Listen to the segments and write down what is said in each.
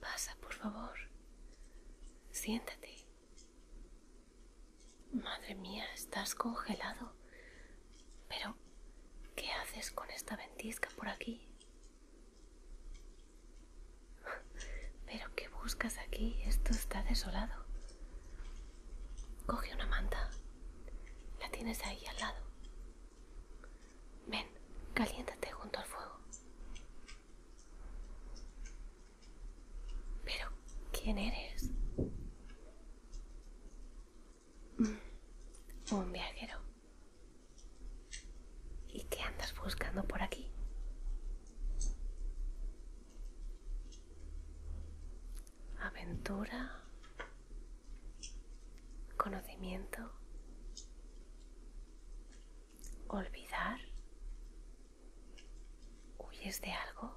Pasa, por favor. Siéntate. Madre mía, estás congelado. Pero, ¿qué haces con esta ventisca por aquí? ¿Pero qué buscas aquí? Esto está desolado. Coge una manta. La tienes ahí al lado. Ven, caliéntate junto al fuego. Pero, ¿quién eres? Mm. Un viajero. ¿Y qué andas buscando por aquí? Aventura, conocimiento, olvidar? ¿Huyes de algo?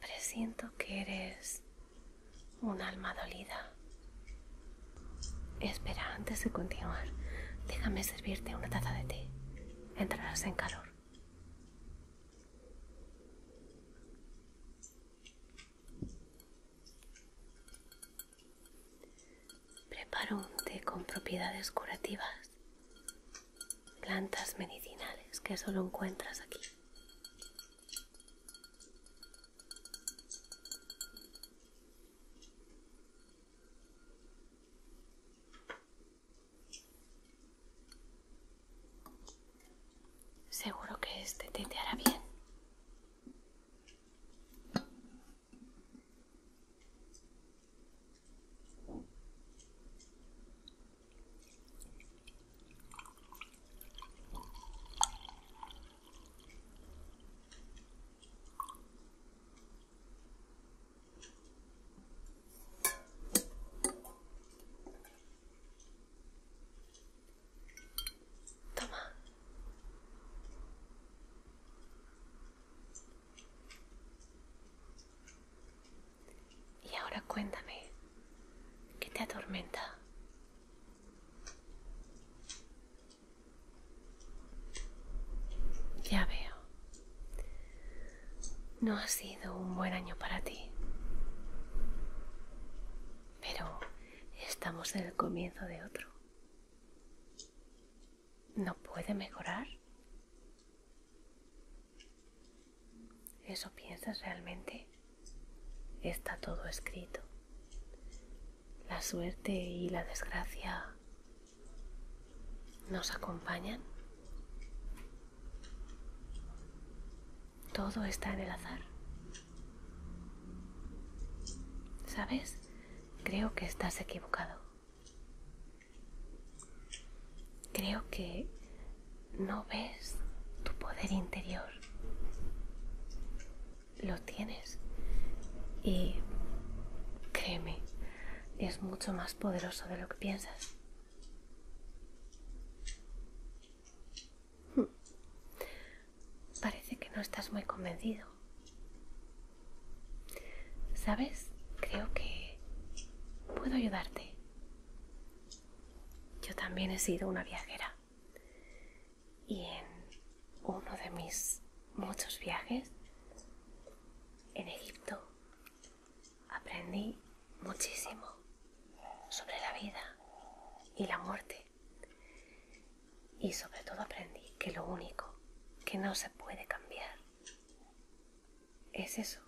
Presiento que eres un alma dolida. Espera, antes de continuar, déjame servirte una taza de té. Entrarás en calor. Preparo un té con propiedades curativas, plantas medicinales que solo encuentras aquí. Seguro que este te hará bien. Toma. Y ahora cuéntame, ¿qué te atormenta? Ya veo. No ha sido un buen año para ti pero estamos en el comienzo de otro. ¿No puede mejorar? ¿Eso piensas realmente? Está todo escrito. La suerte y la desgracia nos acompañan. Todo está en el azar. ¿Sabes? Creo que estás equivocado. Creo que no ves tu poder interior. Lo tienes. Y créeme, es mucho más poderoso de lo que piensas. Hmm. Parece que no estás muy convencido. ¿Sabes? Creo que puedo ayudarte. Yo también he sido una viajera. Y en uno de mis muchos viajes, en Egipto, aprendí muchísimo sobre la vida y la muerte. Y sobre todo aprendí que lo único que no se puede cambiar es eso,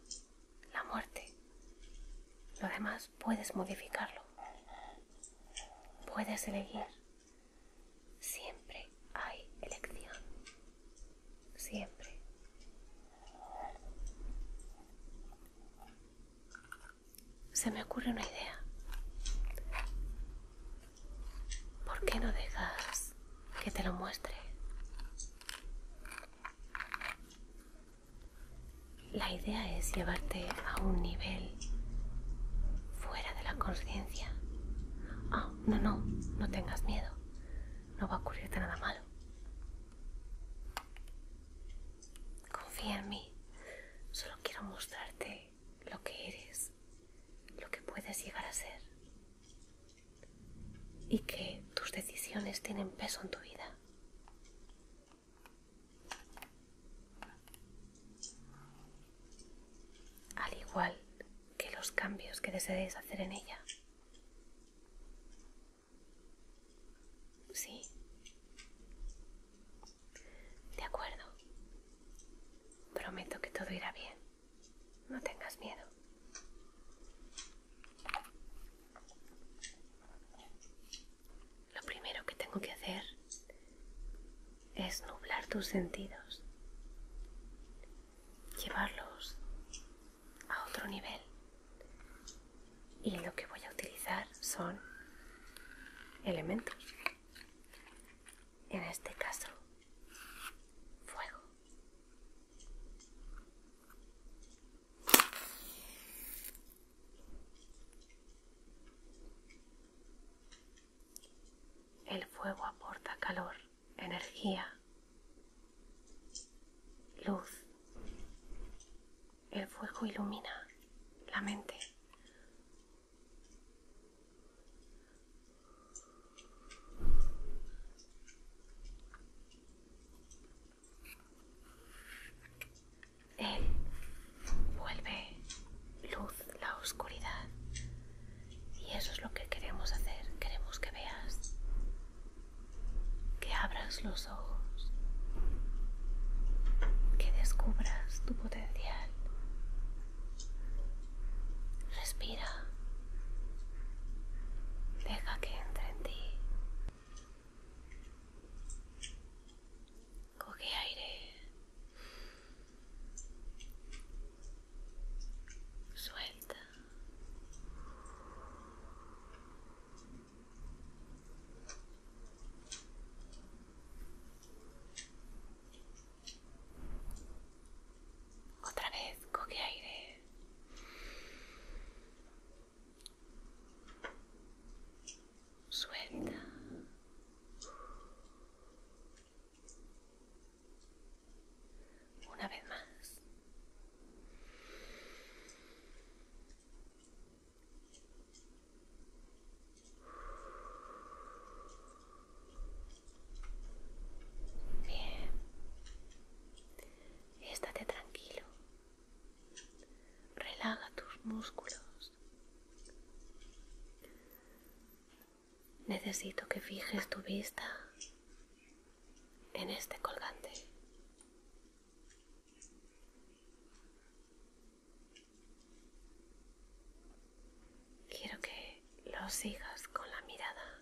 la muerte. Lo demás puedes modificarlo. Puedes elegir. Siempre hay elección. Siempre se me ocurre una idea. ¿Por qué no dejas que te lo muestre? La idea es llevarte a un nivel fuera de la conciencia. Ah, no, no, no tengas miedo. No va a ocurrirte nada malo. Confía en mí. Solo quiero mostrarte lo que eres, lo que puedes llegar a ser. Y que tus decisiones tienen peso en tu vida. Al igual que los cambios que desees hacer en ella. Sí, ¿De acuerdo? Prometo que todo irá bien. No tengas miedo. Lo primero que tengo que hacer es nublar tus sentidos, llevarlos a otro nivel, y lo que voy a utilizar son elementos. En este caso, fuego. El fuego aporta calor, energía, luz, el fuego ilumina la mente. Él vuelve luz la oscuridad. Y eso es lo que queremos hacer. Queremos que veas, que abras los que descubras tu potencial. Respira. Deja que entre en ti. Coge aire. Suelta. Otra vez coge aire. Suelta. Una vez más. Bien. Estate tranquilo. Relaja tus músculos. Necesito que fijes tu vista en este colgante. Quiero que lo sigas con la mirada.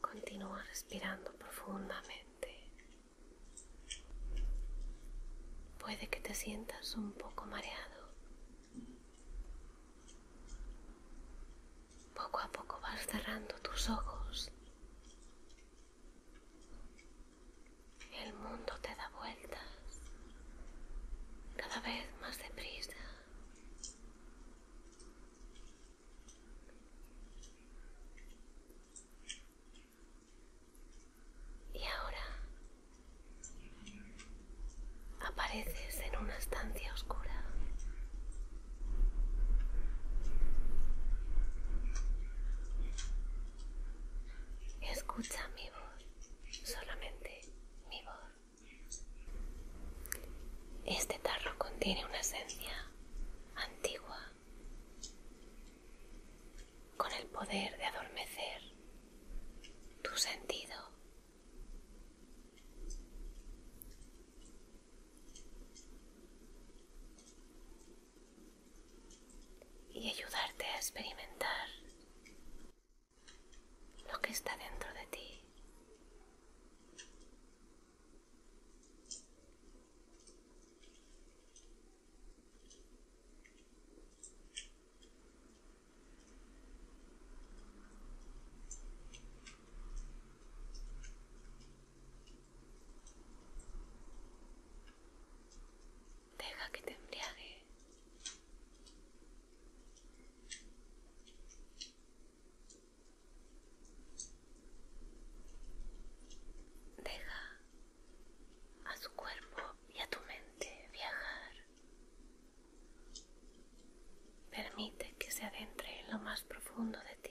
Continúa respirando profundamente. Puede que te sientas un poco mareado. Poco a poco vas cerrando tus ojos. El mundo te da vueltas cada vez más deprisa. Y ahora apareces en una estancia oscura. Escucha mi voz, solamente mi voz. Este tarro contiene una esencia antigua con el poder de adormecer tu sentido. y ayudarte a experimentar lo que está dentro de ti. Deja que te embriague. Deja a tu cuerpo y a tu mente viajar. Permite que se adentre en lo más profundo de ti.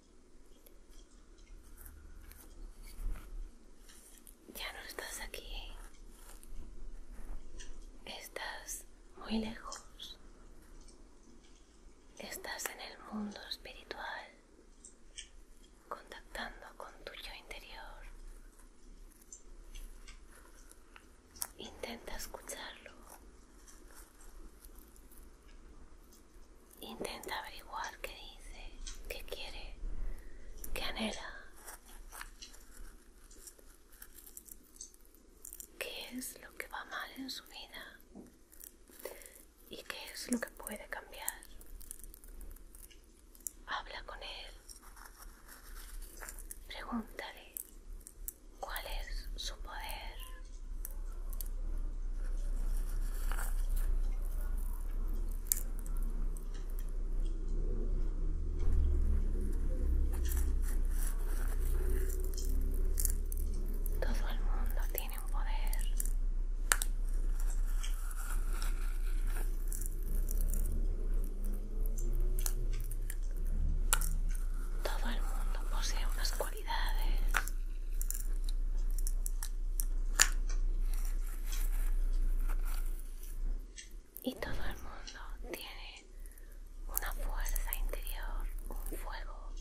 Ya no estás aquí. Estás muy lejos. Estás en el mundo espiritual, contactando con tu yo interior. Intenta escucharlo. Intenta averiguar qué dice, qué quiere, qué anhela. ¿Qué es lo que va mal en su vida? ¿Y qué es lo que puede cambiar? Habla con él. Pregúntale cuál es su poder. Todo el mundo tiene un poder. Todo el mundo posee unas cualidades y todo el mundo tiene una fuerza interior, un fuego.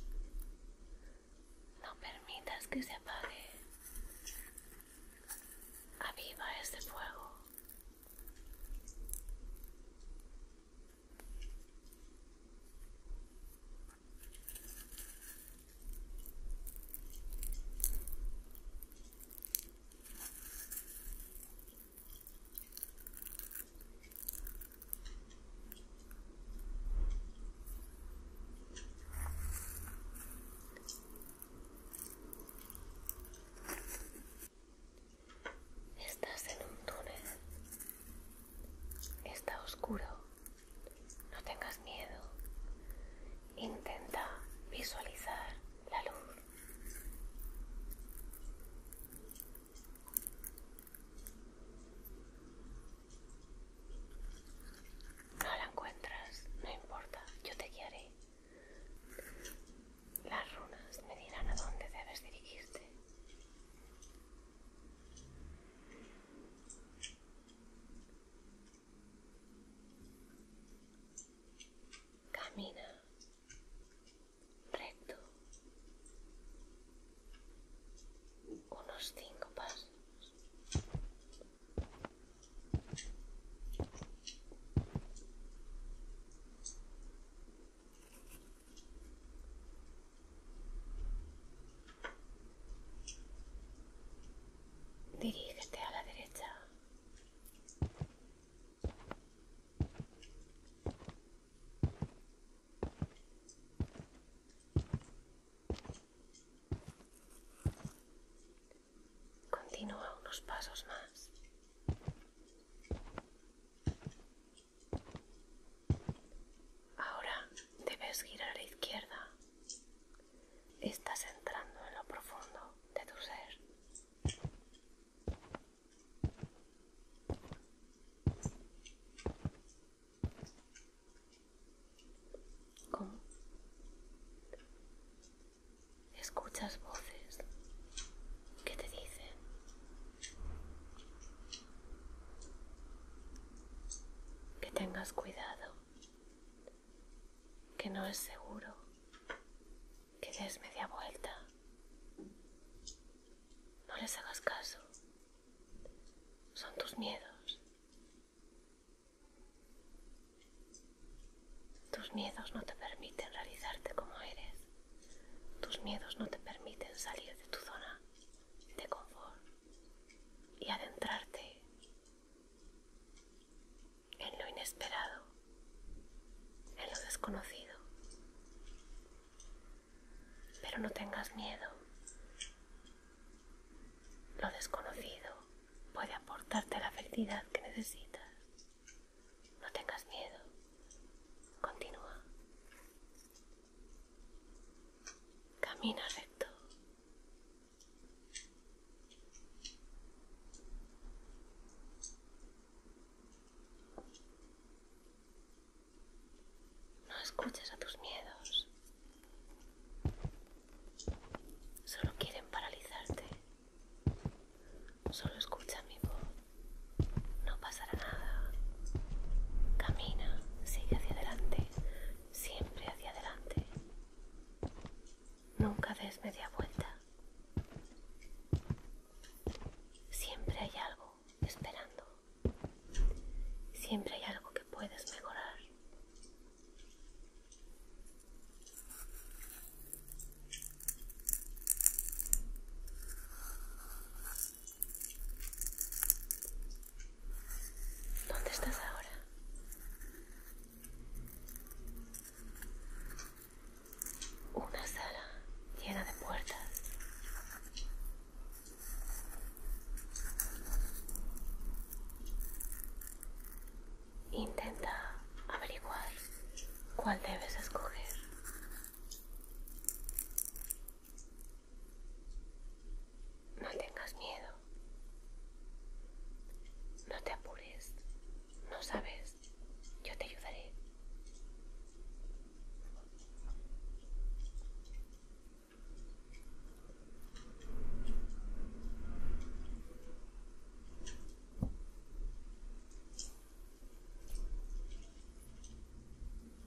No permitas que se apague. Aviva ese fuego. Estás en un túnel Está oscuro. No tengas miedo. Intenta visualizar la luz. No la encuentras, no importa, yo te guiaré. Las runas me dirán a dónde debes dirigirte. Camina recto unos cinco pasos. Dirígete a la derecha. Continúa unos pasos más. Ahora debes girar a la izquierda. Estás entrando en lo profundo de tu ser. ¿Cómo? Escuchas voces que te dicen que tengas cuidado, que no es seguro que des media vuelta. No les hagas caso. Son tus miedos. Tus miedos no te permiten realizarte como eres. Tus miedos no te permiten salir de tu zona de confort y adentrarte en lo inesperado, en lo desconocido. Pero no tengas miedo. Lo desconocido puede aportarte la felicidad que necesitas. No tengas miedo. Continúa. Camina recto. No escuches a tus miedos. Solo quieren paralizarte. Solo escucha mi voz. No pasará nada. Camina, sigue hacia adelante, siempre hacia adelante. Nunca des media vuelta. Siempre hay algo esperando. Siempre hay algo que puedes mejorar. ¿Dónde estás ahora? Una sala llena de puertas. Intenta averiguar cuál debes escoger. No tengas miedo. No te apures. No sabes. Yo te ayudaré.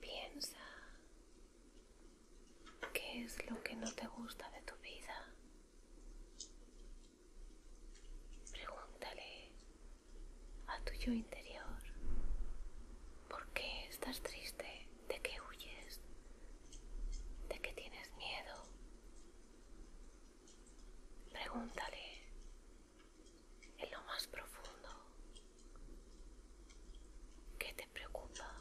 Piensa qué es lo que no te gusta de tu vida. Pregúntale a tu yo interior por qué estás triste, de qué huyes, de qué tienes miedo. Pregúntale en lo más profundo qué te preocupa,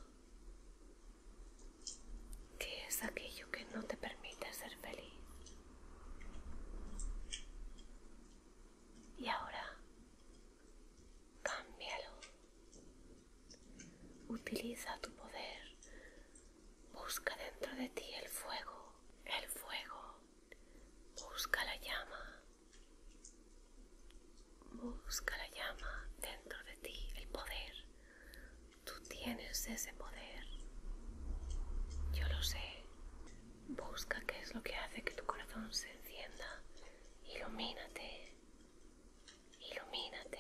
qué es aquello que no te permite ser feliz. Y ahora, cámbialo. Utiliza tu poder. Busca dentro de ti el fuego, el fuego. Busca la llama. Busca la llama dentro de ti, el poder. Tú tienes ese poder. Yo lo sé. Busca qué es lo que hace que tu corazón se encienda. Ilumínate. Ilumínate.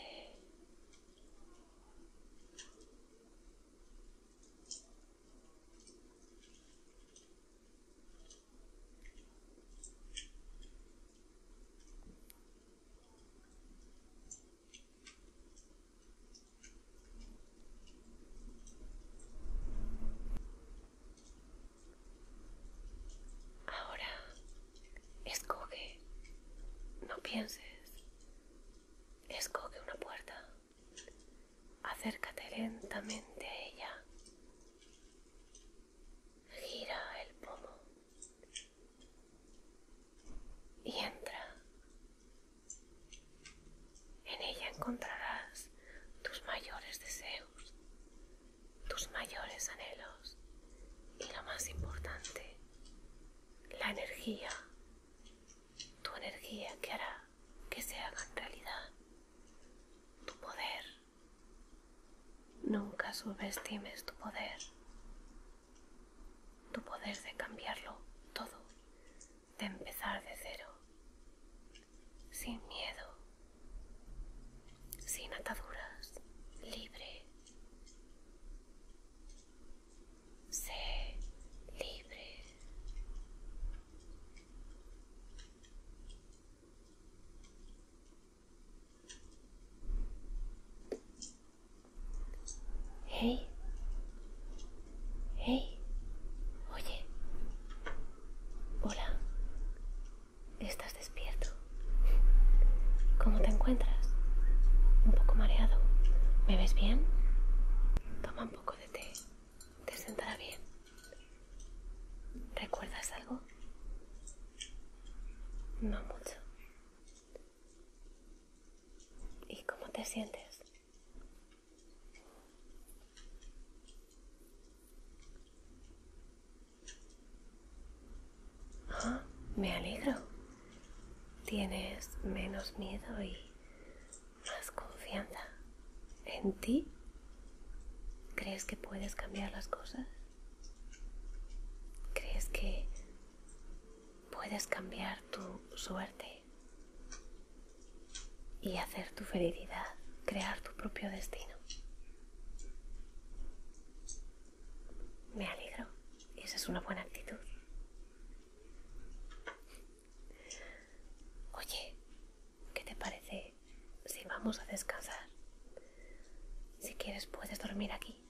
Ahora Escoge, no pienses, escoge una puerta, acércate lentamente a ella, gira el pomo y entra. En ella encontrarás tus mayores deseos, tus mayores anhelos y la más importante, la energía, tu energía que hará que se haga realidad, tu poder. Nunca subestimes tu poder, tu poder de cambiarlo todo, de empezar de cero, sin miedo, sin ataduras, libre Sé libre. Hey. Hey. Oye. Hola. Estás despierto. ¿Cómo te encuentras? Un poco mareado. ¿Me ves bien? Toma un poco de té. Te sentará bien. ¿Recuerdas algo? No mucho. ¿Y cómo te sientes? me alegro. Tienes menos miedo y más confianza en ti. ¿Crees que puedes cambiar las cosas? ¿Crees que puedes cambiar tu suerte y hacer tu felicidad, crear tu propio destino? Me alegro. Esa es una buena actitud. Oye, ¿qué te parece si vamos a descansar? Si quieres puedes dormir aquí.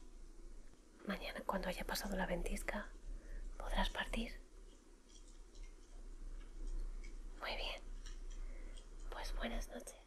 Mañana cuando haya pasado la ventisca podrás partir. Muy bien. Pues buenas noches.